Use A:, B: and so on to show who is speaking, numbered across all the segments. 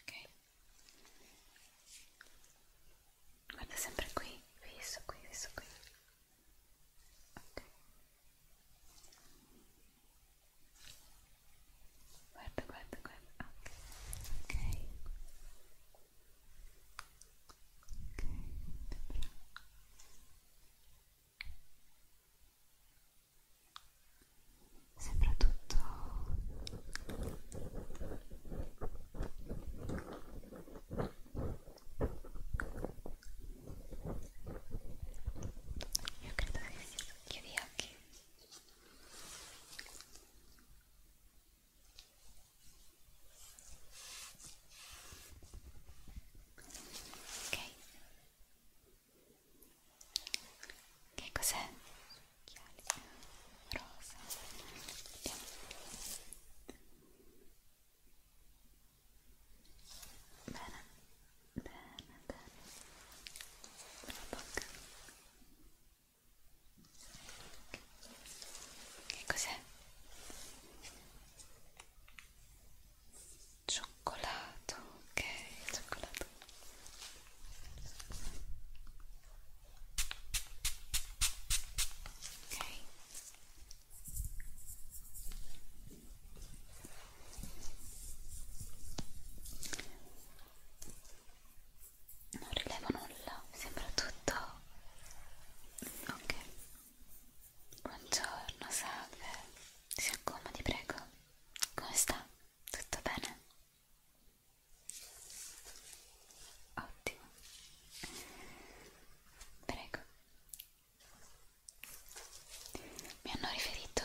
A: ok guarda sempre qui visto qui visto qui ok guarda guarda guarda ok ok ok Sembra tutto io credo che sia chiudi occhi Ok. Che cos'è? Occhiali rosa. Vediamo. Bene, bene, bene. La bocca. Che cos'è? Cioccolato, ok, cioccolato. Ok. Non rilevo nulla, sembra tutto ok Buongiorno, salve, si accomodi prego, come sta? Tutto bene? Ottimo, prego. Mi hanno riferito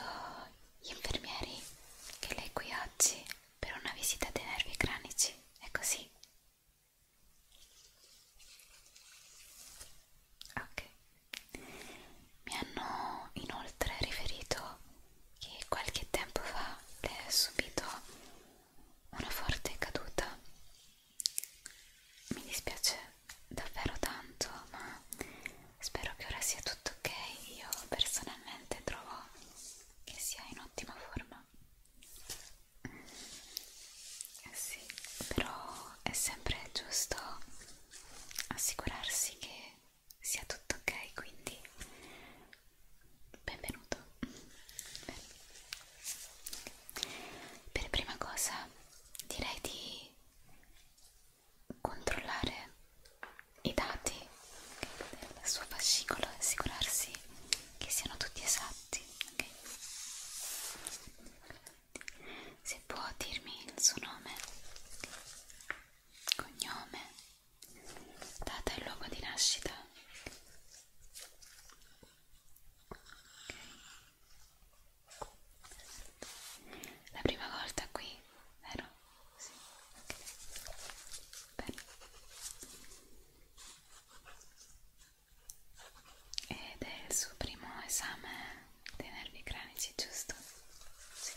A: gli infermieri che lei è qui oggi per una visita dei nervi cranici, è così? Ok, mi hanno inoltre riferito che qualche tempo fa lei ha subito una forte caduta. Mi dispiace davvero tanto, ma spero che ora sia tutto ok. Io personalmente trovo che sia in ottima forma. Eh sì, però è sempre giusto assicurarsi che sia tutto ok, quindi benvenuto. Bene. Per prima cosa direi di controllare i dati del suo fascicolo e assicurarsi che siano tutti esatti. Okay? Se può dirmi il suo nome, cognome, data e luogo di nascita. Okay. La prima volta qui, vero? Sì. Okay. Bene ed è il suo primo esame dei nervi cranici, giusto? Sì.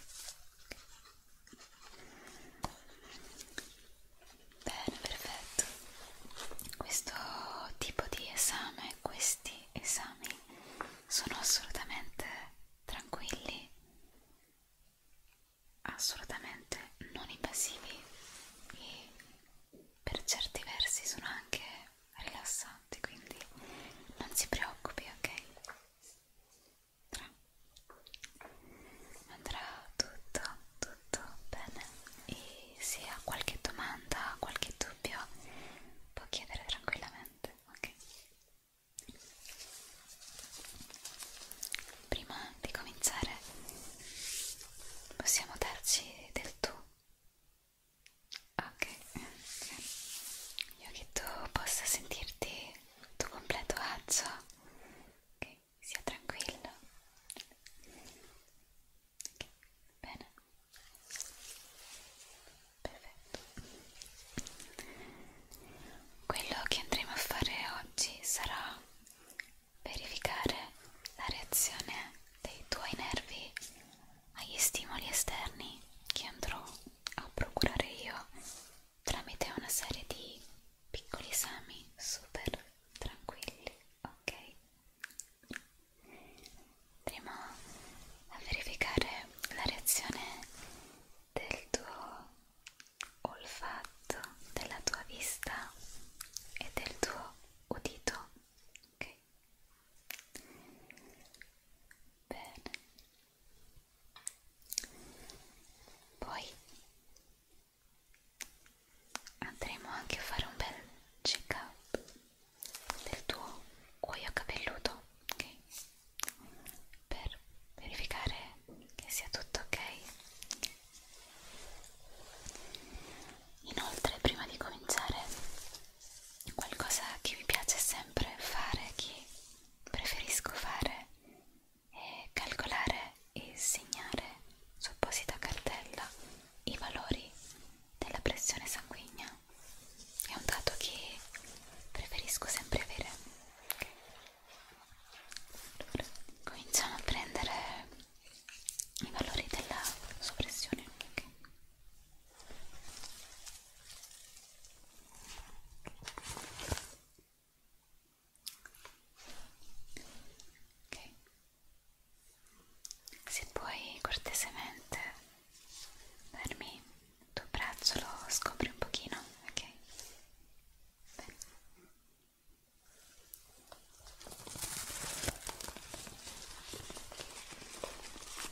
A: Bene, perfetto. Questo tipo di esame, questi esami sono assolutamente tranquilli, assolutamente non invasivi e per certi versi sono anche rilassante, quindi non si preoccupi, ok? Tra. Andrà tutto, tutto bene e se ha qualche domanda, qualche dubbio può chiedere tranquillamente, ok? Prima di cominciare possiamo darci del tu Ok, io che tu possa sentirti il tuo completo agio, ok, sia tranquillo. Okay. Bene, perfetto. Quello che andremo a fare oggi sarà verificare la reazione dei tuoi nervi agli stimoli esterni che andrò a procurare io tramite una serie di piccoli esami super tranquilli, ok? Andremo a verificare la reazione del tuo olfatto, della tua vista e del tuo udito, ok? bene poi andremo anche a fare un bel check up del tuo cuoio capelluto ok per verificare che sia tutto ok inoltre prima di cominciare qualcosa che mi piace sempre fare, che preferisco fare è calcolare e segnare su apposita cartella i valori della pressione sanguigna è un dato che preferisco sempre avere allora, cominciamo a prendere i valori della soppressione okay. Ok, se puoi cortesemente darmi il tuo braccio lo scopri un pochino, ok? Bene.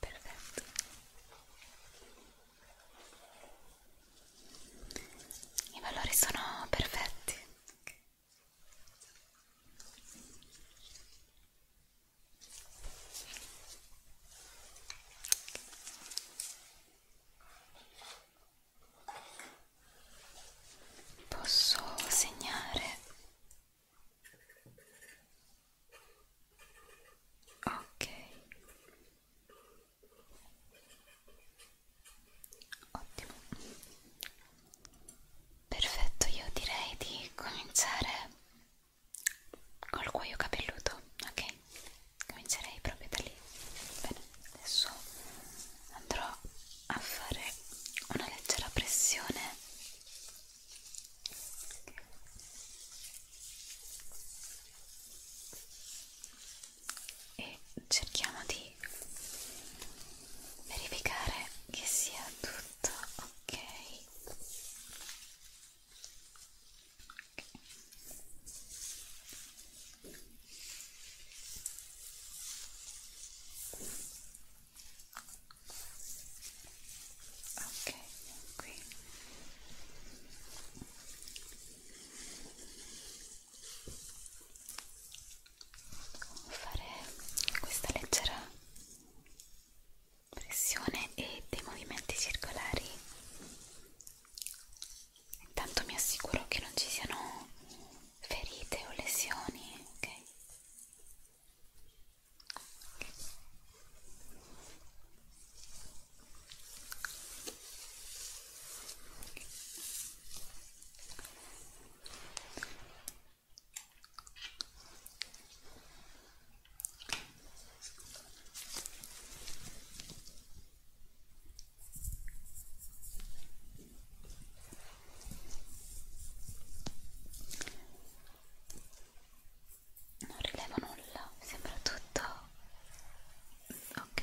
A: Perfetto. I valori sono perfetti. Posso segnare? Ok. Ottimo. Perfetto, io direi di cominciare col cuoio capelluto, ok? Comincerei proprio da lì. Bene, adesso andrò a fare una leggera pressione. E cerchiamo di verificare che sia tutto Perfetto, ok. Ok, qui. Devo fare questa leggera pressione e dei movimenti circolari intanto mi assicuro che non ci siano ferite o lesioni ok non rilevo nulla, sembra tutto ok.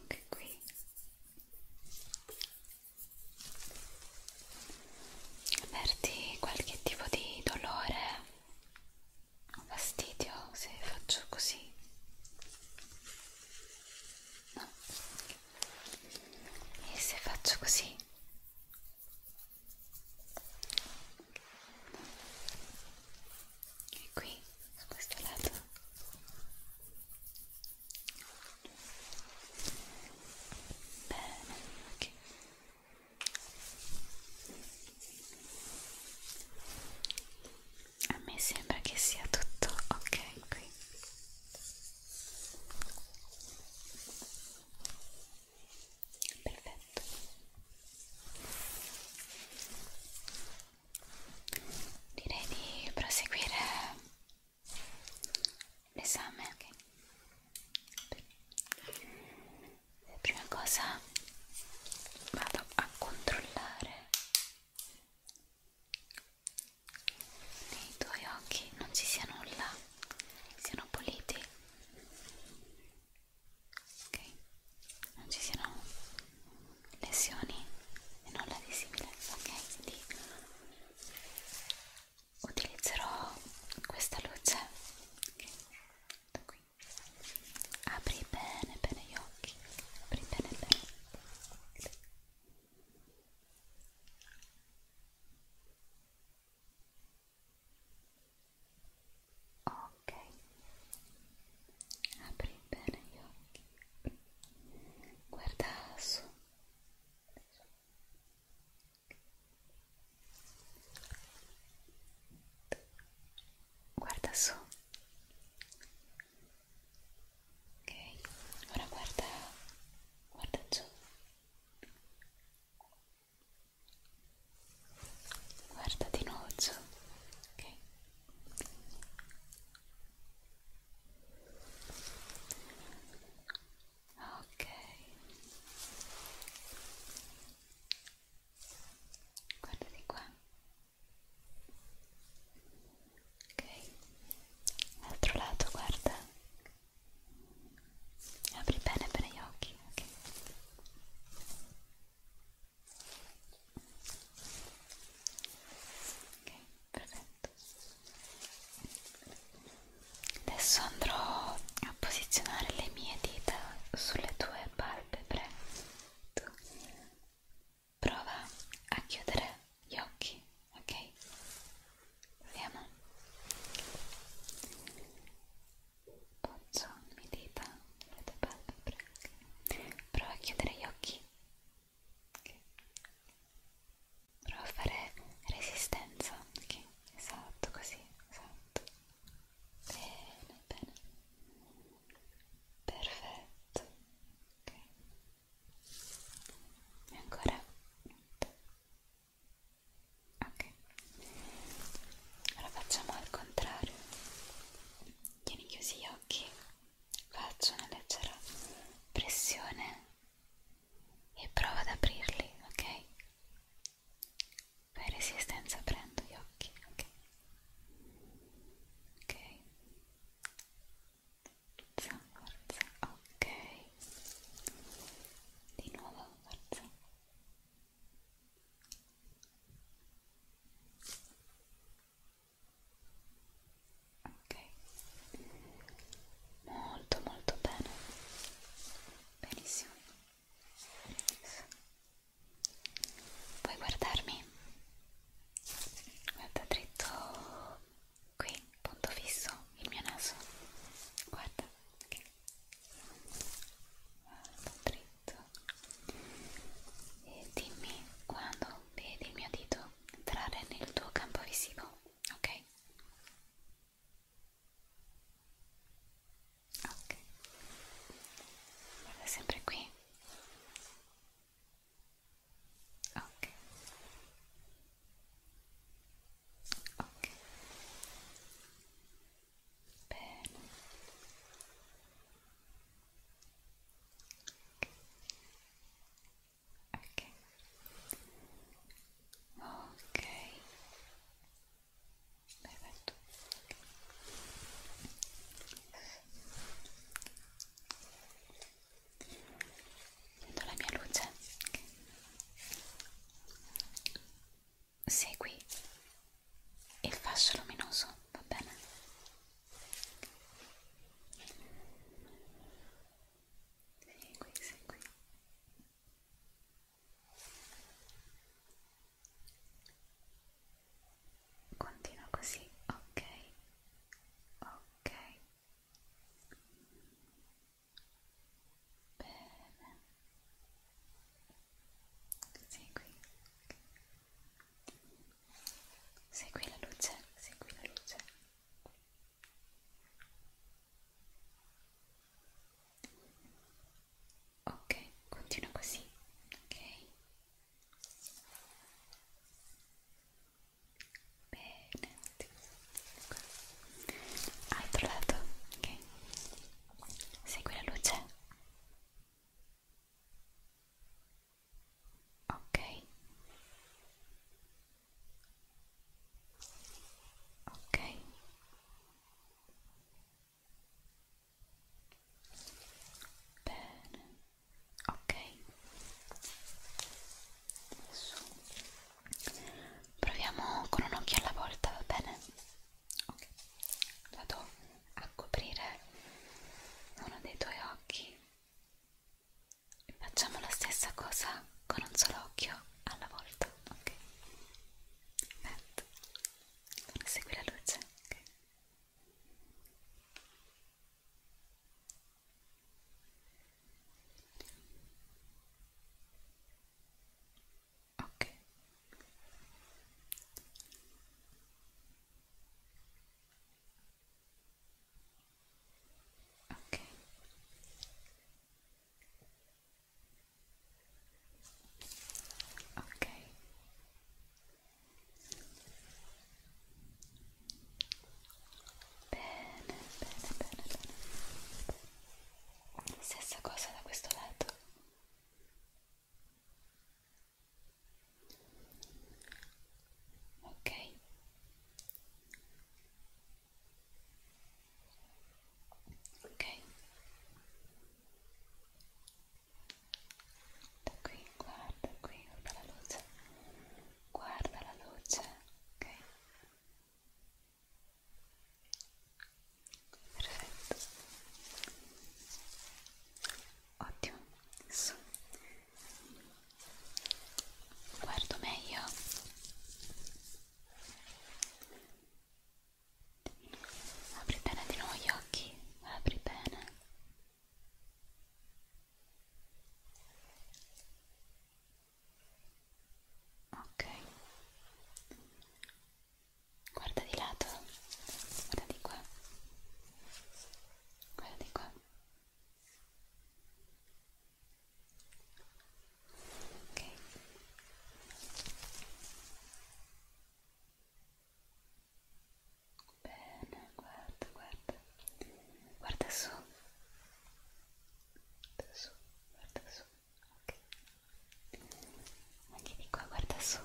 A: anche qui avverti qualche tipo di dolore o fastidio se faccio così no e se faccio così e qui su questo lato bene ok a me sembra che sia tutto ok qui perfetto direi di proseguire l'esame okay. prima cosa vado a controllare nei tuoi occhi non ci sia nulla siano puliti ok non ci siano lesioni e nulla di simile ok quindi utilizzerò questa luce ok da qui apri bene bene gli occhi apri bene bene ok apri bene gli occhi guarda su guarda su ok ora guarda guarda giù guarda di nuovo giù ok ok guarda di qua ok l'altro lato guarda Apri bene bene gli occhi, ok? Ok, perfetto. Adesso andrò a posizionare le mie dita sulle tue palpebre. Tu prova a chiudere gli occhi, ok? Vediamo. Pozzo mi dita le tue palpebre. Prova a chiudere gli occhi. Okay. Prova a fare resistenza. Okay. Esatto, così, esatto. Bene, bene. Perfetto. Ok. E ancora ok ora facciamo al contrario tieni chiusi gli occhi faccio una leggera pressione e prova ad aprirli ok fai resistenza aprendo gli occhi ok ok forza forza ok di nuovo forza ok molto molto bene benissimo puoi guardarmi guarda dritto qui punto fisso il mio naso guarda okay dritto e dimmi quando vedi il mio dito entrare nel tuo campo visivo ok ok guarda sempre qui ok ok bene ok ok perfetto vedo la mia luce segui il fascio luminoso, va bene? Segui, segui. Continua così, ok, ok bene segui segui la luce segui la luce ok continua così ok bene qua. altro lato ok segui la luce ok ok bene ok su proviamo con un occhio alla volta va bene ok vado a coprire uno dei tuoi occhi e facciamo la stessa cosa con un solo occhio alla volta ok perfetto segui la luce ok Okay. Okay. Okay. Bene, bene, bene, bene. stessa cosa da questo lato ok ok da qui guarda qui guarda la luce guarda la luce ok perfetto ottimo adesso guardo meglio apri bene di nuovo gli occhi apri bene ok guarda di lato guarda di qua guarda di qua ok bene guarda guarda guarda su guarda su guarda su Ok. Anche di qua guarda su.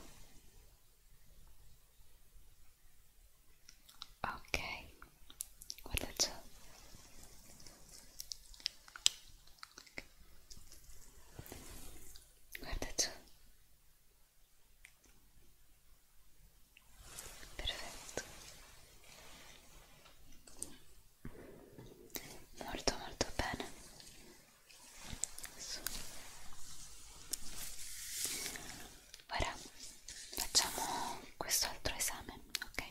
A: Ok. Guarda giù. Okay. Guarda giù. Perfetto molto molto bene Su. ora facciamo questo altro esame ok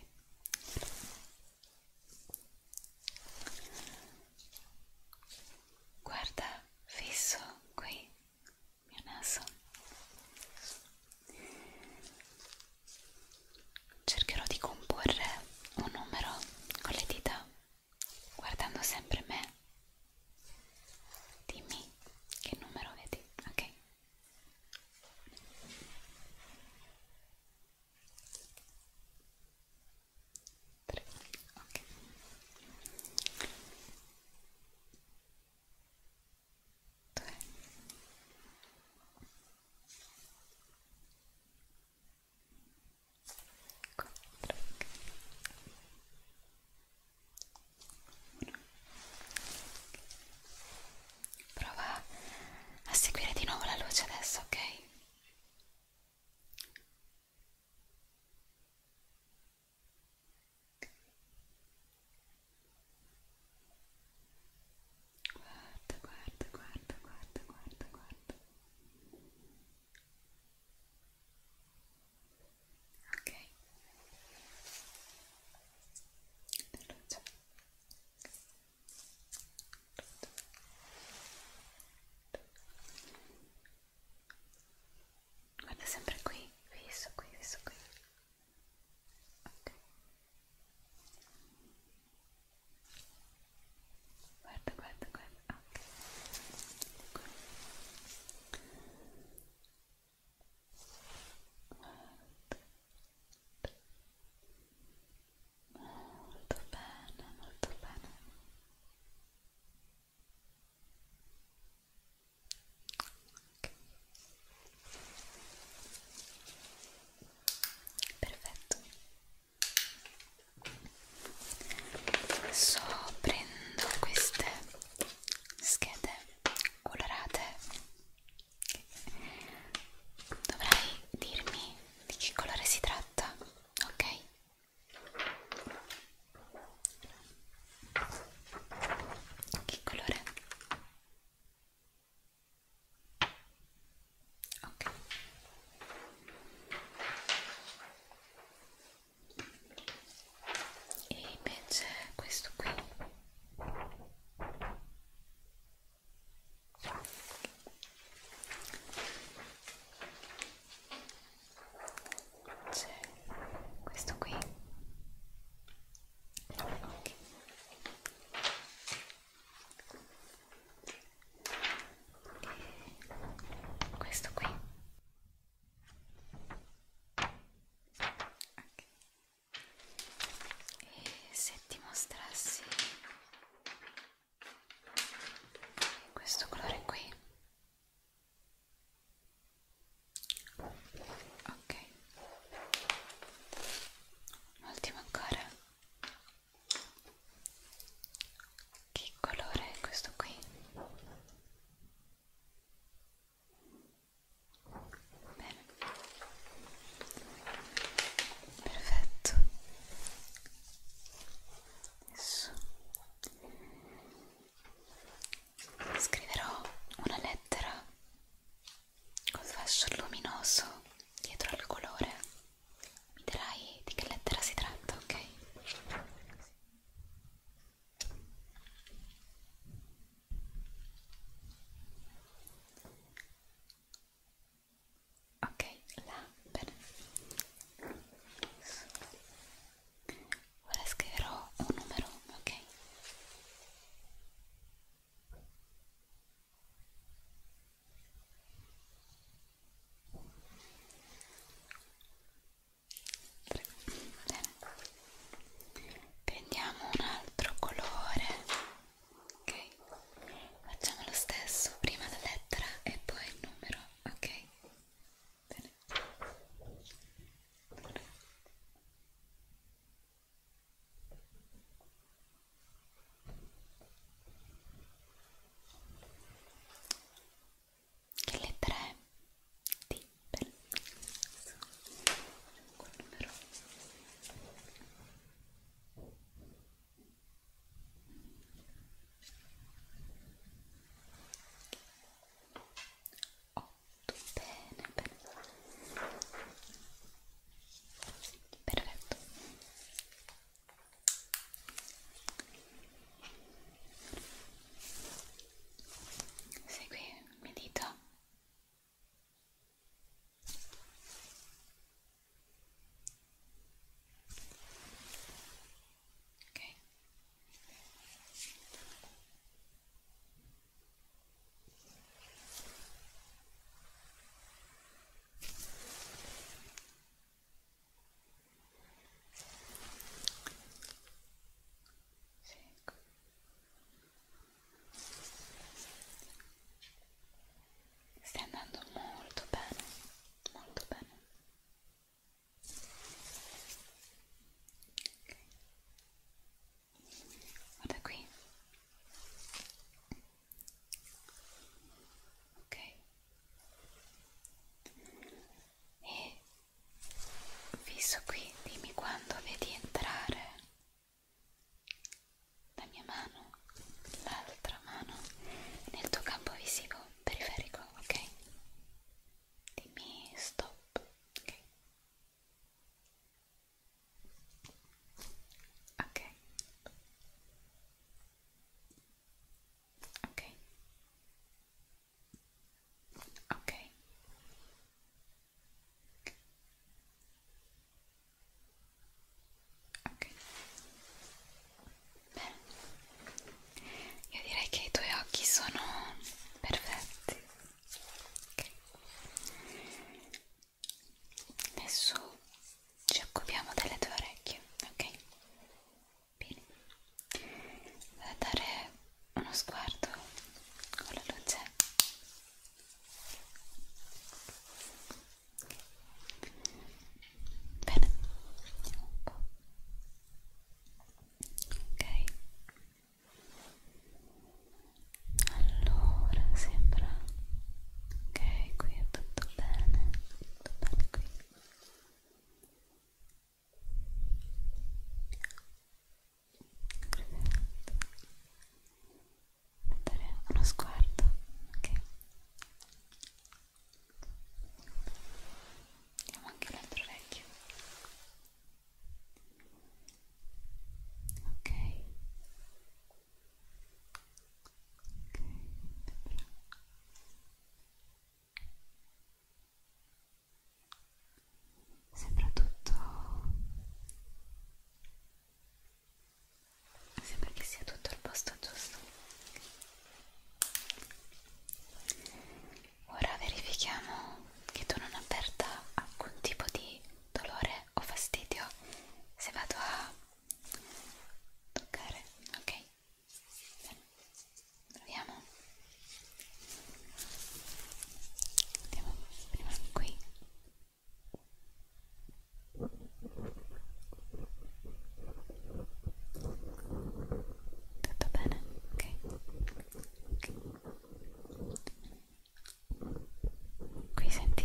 A: guarda fisso qui il mio naso cercherò di comporre un numero con le dita guardando sempre me dimmi che numero vedi ok Tre. ok Due. Prova a seguire di nuovo la luce adesso, ok? Guarda, guarda, guarda, guarda, guarda, guarda. Ok. Luce. Guarda sempre qui, viso qui, viso qui. Ok guarda guarda guarda anche molto bene molto bene okay. perfetto adesso prendo queste schede colorate dovrai dirmi di che colore si tratta ok che colore ok e invece questo qui c'è questo qui ok e questo qui okay. e se ti mostrassi questo colore qui ok ultimo ancora che colore è questo qui? Bene. Perfetto. Adesso scriverò una lettera col fascio luminoso dietro al colore mi dirai di che lettera si tratta, ok? Ok, la bene. Ora scriverò un numero, ok? Bene. Prendiamo un altro colore, ok? Facciamo lo stesso, prima la lettera e poi il numero, ok? Bene. Allora. Che lettera è? D per quel numero Otto, bene, bene perfetto segui il mio dito ok sì, ecco. Stai andando molto bene, molto bene. Okay. Guarda qui ok e fisso qui dimmi quando vedi entrare la mia mano l'altra mano nel tuo campo visivo periferico ok dimmi stop ok ok ok ok ok bene io direi che i tuoi occhi sono perfetti okay. adesso ci occupiamo delle tue orecchie, ok? Bene, vado a dare uno sguardo con la luce. Bene, vediamo un po'. Ok. Allora sembra ok qui è tutto bene tutto bene qui dare uno sguardo ok vediamo anche l'altro orecchio ok Sembra tutto. Sembra che sia tutto al posto giusto. Ora verifichiamo che tu non avverta alcun tipo di dolore o fastidio se vado a toccare, ok? proviamo andiamo prima qui tutto bene? ok? okay. qui senti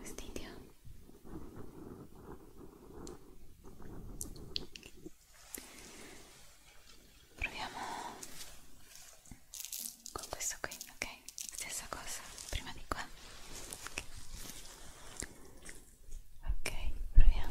A: Fastidio? Proviamo con questo qui, ok? Stessa cosa, prima di qua. Ok, okay proviamo.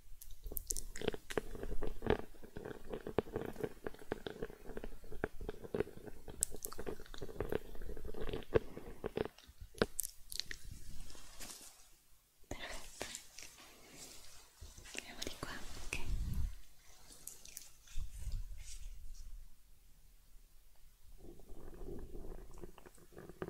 A: Perfetto. Andiamo di qua, ok. Perfetto.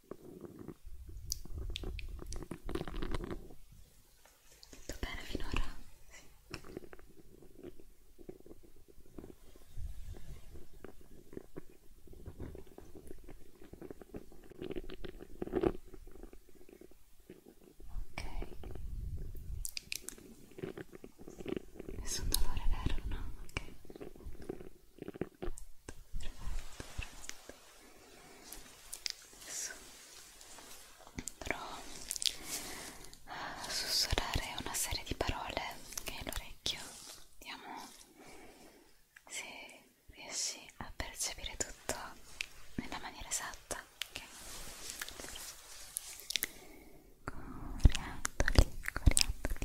A: Tutto bene finora? Sì. Ok. Nessun dolore vero, no? Ok adesso andrò a sussurrare una serie di parole che hai l'orecchio vediamo se riesci a percepire tutto nella maniera esatta okay. Coriandoli, coriandoli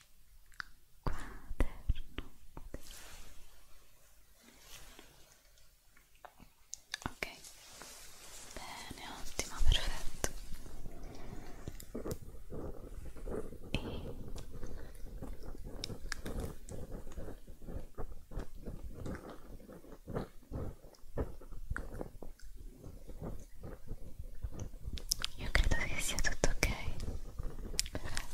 A: quaderno ok bene ottimo perfetto e io credo che sia tutto ok. Perfetto.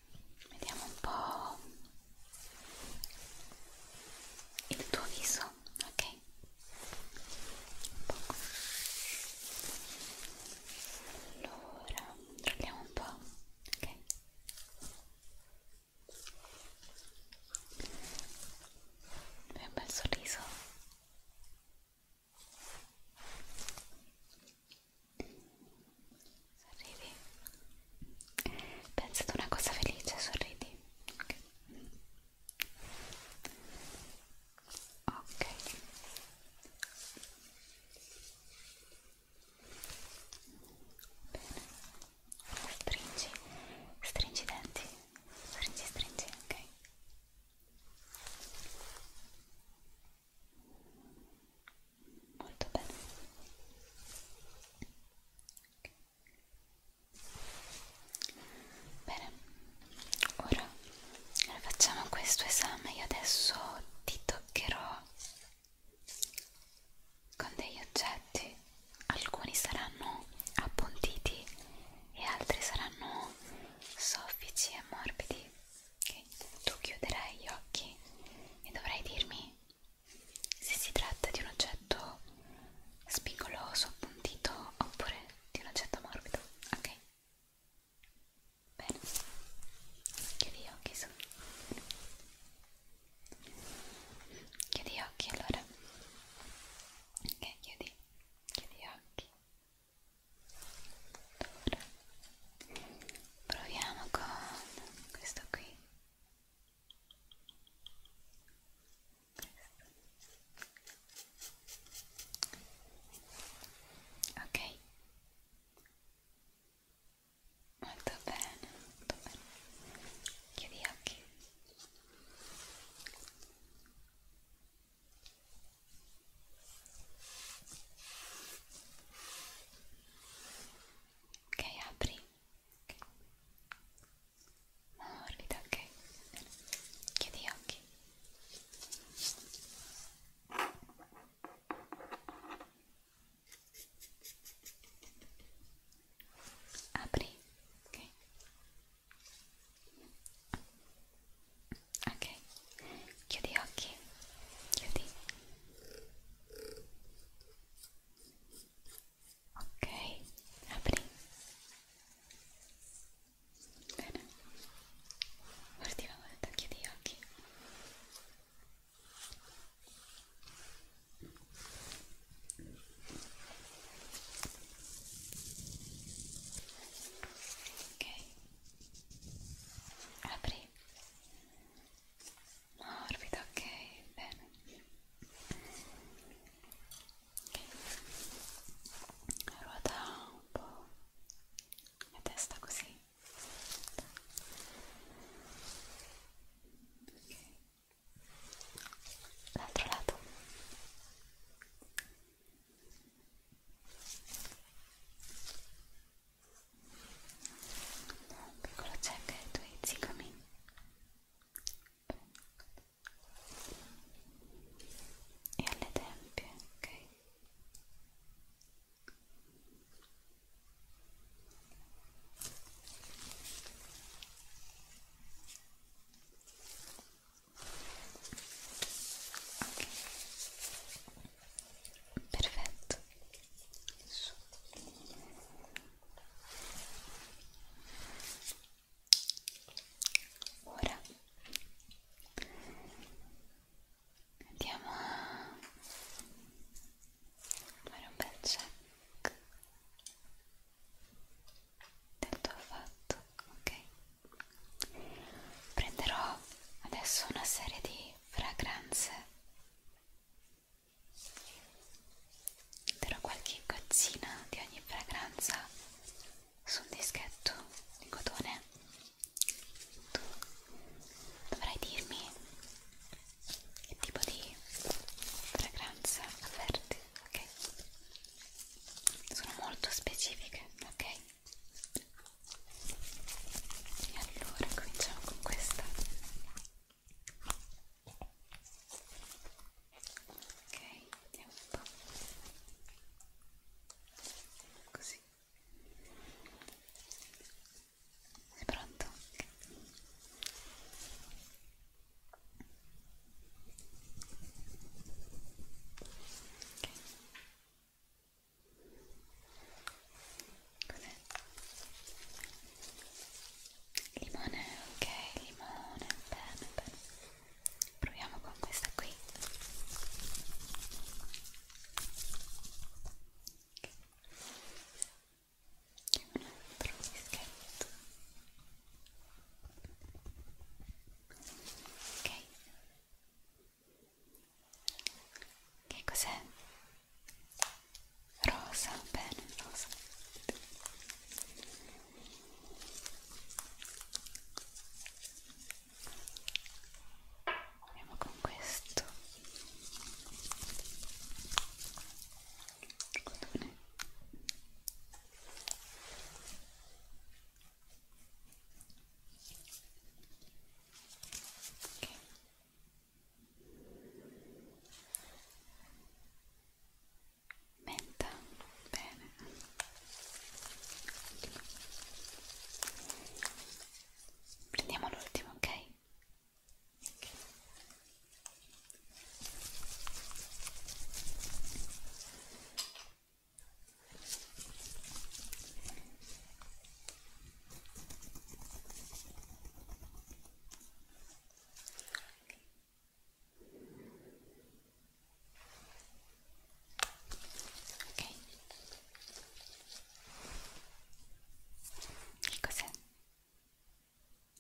A: vediamo un po' il tuo viso, ok? Un poco. Allora, proviamo un po', ok? Fai un bel sorriso Sorridi. Pensa ad una cosa felice, sorridi. Ok. okay. Bene. Stringi, stringi i denti. Stringi, stringi, ok molto bene bene ora facciamo questo esame io adesso ti toccherò con degli oggetti alcuni saranno appuntiti e altri saranno soffici e morbidi ok? Tu chiuderai gli occhi e dovrai dirmi se si tratta di un oggetto spigoloso, appuntito oppure di un oggetto morbido, ok? Bene, chiudi gli occhi su. Chiudi gli occhi allora. Ok, chiudi. Chiudi gli occhi proviamo con questo qui ok molto bene molto bene chiudi gli occhi Ok, apri. Okay. Morbida, ok. Bene. Chiudi gli occhi. Apri, ok ok chiudi gli occhi chiudi ok apri bene l'ultima volta chiudi gli occhi ok apri morbida, ok, bene okay. ruota un po' la testa così ok l'altro lato ok un piccolo check ai tuoi zigomi e alle tempie, ok? Ok, perfetto Su. ora andiamo a fare un bel check del tuo fatto ok prenderò adesso una serie di fragranze darò qualche gozzina di ogni fragranza su un dischetto di cotone tu dovrai dirmi che tipo di fragranza avverti ok sono molto specifiche ok e allora cominciamo con questa ok vediamo un po' così sei pronto? Okay. Okay. Cos'è? Limone, ok, limone, bene, bene. Proviamo con questa qui. Okay. Un altro dischetto. Ok. Che cos'è? Rosa, bene, rosa. Andiamo con questo cotone. Okay menta bene prendiamo l'ultimo ok, okay. Che cos'è?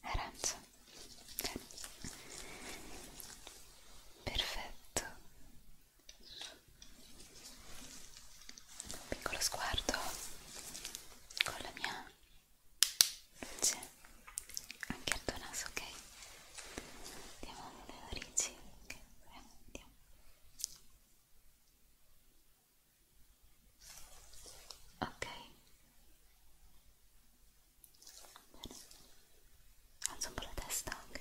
A: Arancio. Bene. Perfetto un piccolo sguardo con la mia luce anche al tuo naso, ok? Andiamo alle narici, ok? Andiamo. Ok. Bene. Alzo un po' la testa, ok?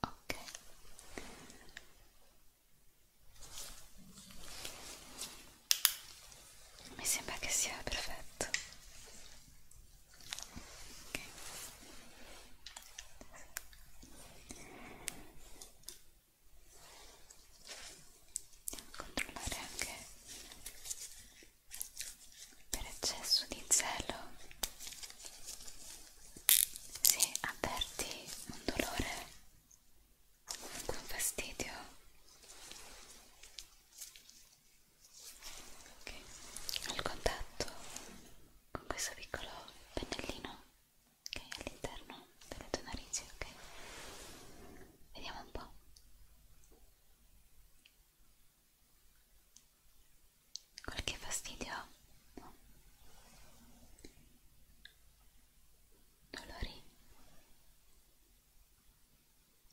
A: ok mi sembra che sia perfetto okay. controllare anche per eccesso di zelo se avverti un dolore comunque un fastidio okay. al contatto con questo piccolo pennellino che okay, è all'interno delle tue narici ok vediamo un po' qualche fastidio? No. Dolori?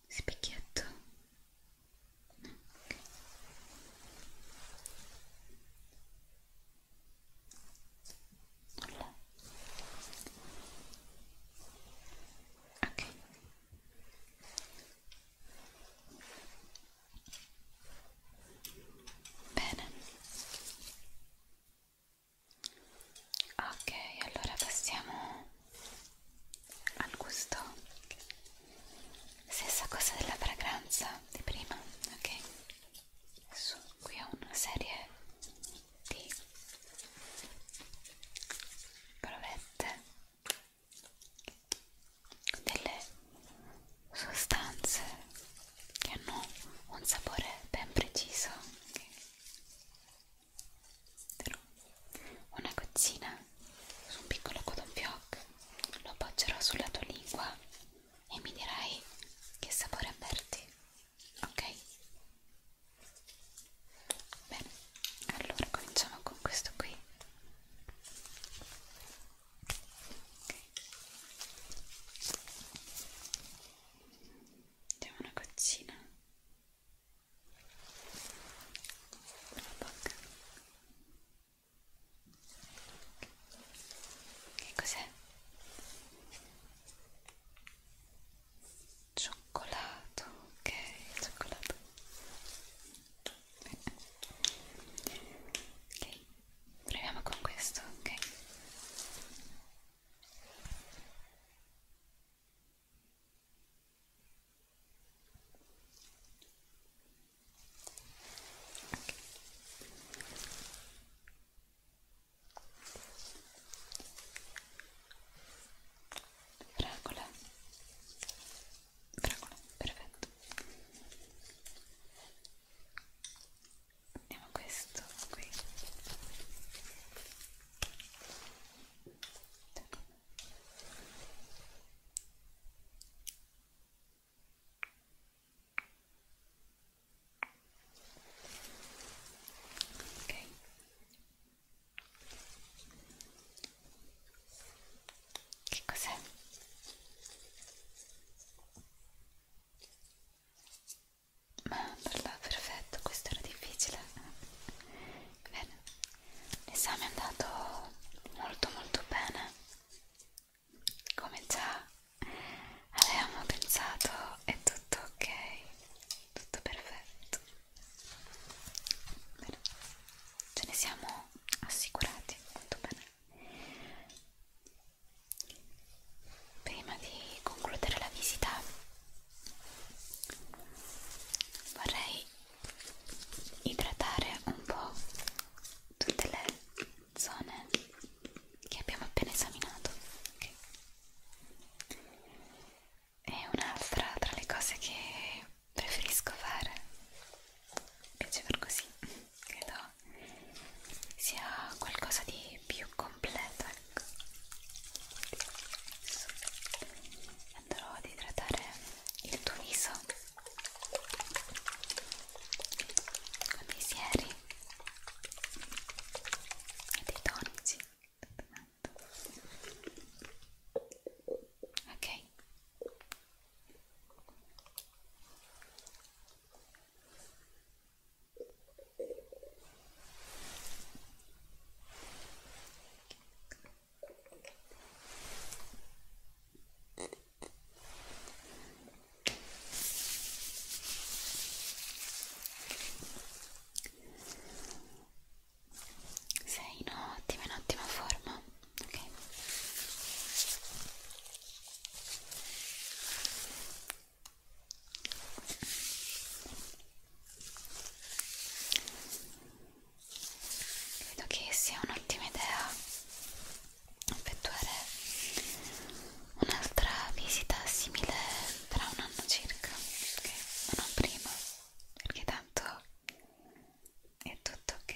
A: Specchietto? No. Okay. Nulla? Ok. Bene. Ok, allora passiamo al gusto. Stessa cosa della fragranza di prima, ok? Adesso qui ho una serie di provette delle sostanze che hanno un sapore ben preciso una gozzina su un piccolo cotton fioc lo appoggerò sulla tua lingua e mi dirai che sapore avverti ok? bene allora cominciamo con questo qui Mettiamo una goccina sulla bocca. Che cos'è? Cioccolato, ok, cioccolato. Ok, proviamo con questo, ok? okay. Fragola Fragola, perfetto andiamo a questo qui ok che cos'è? Ma per là, perfetto, questo era difficile. Bene, l'esame è andato molto molto bene. Come già avevamo pensato, è tutto ok, tutto perfetto. Bene, ce ne siamo assicurati molto bene. Prima di concludere la visita vorrei idratare un po' tutte le zone che abbiamo appena esaminato. Okay. E un'altra tra le cose che preferisco fare mi piace far così credo sia qualcosa di più completo ecco Adesso andrò ad idratare il tuo viso con dei sieri e dei tonici ok sei in ottima, in ottima forma, ok? Credo che sia un'ottima idea effettuare un'altra visita simile tra un anno circa, ok? Ma non prima, perché tanto è tutto ok.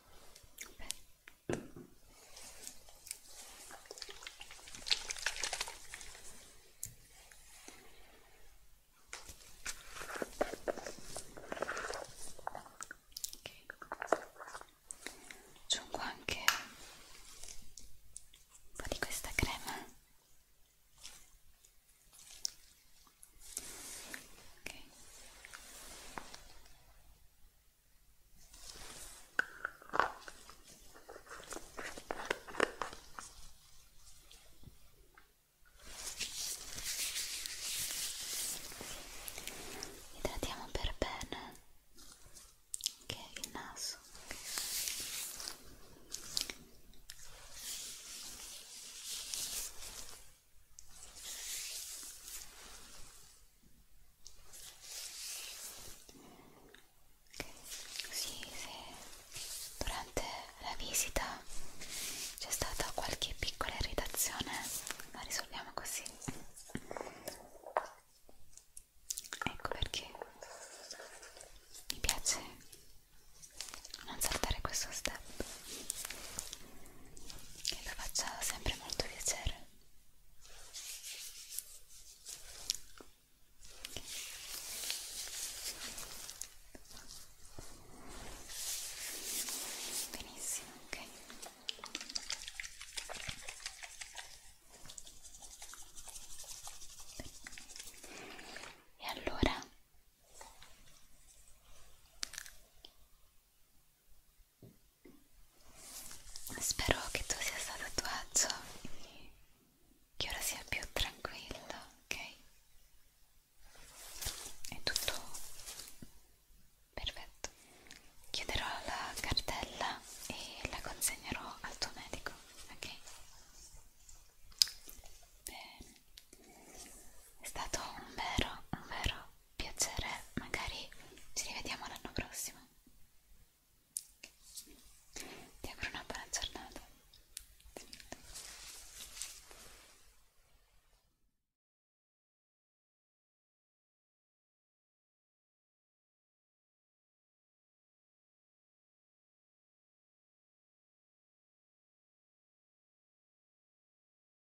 A: Beh. Aggiungo anche un po' di questa crema ok idratiamo per bene ok il naso okay. Sì, se durante la visita c'è stata qualche piccola irritazione, la risolviamo così. Ecco perché mi piace non saltare questo step che vi faccia sempre molto piacere benissimo ok e allora Spero che tu sia stato a tuo agio e che ora sia più tranquillo, ok? È tutto perfetto. Chiuderò la cartella e la consegnerò al tuo medico, ok? Bene. È stato un vero, un vero piacere, magari ci rivediamo l'anno prossimo. Ti auguro una buona giornata.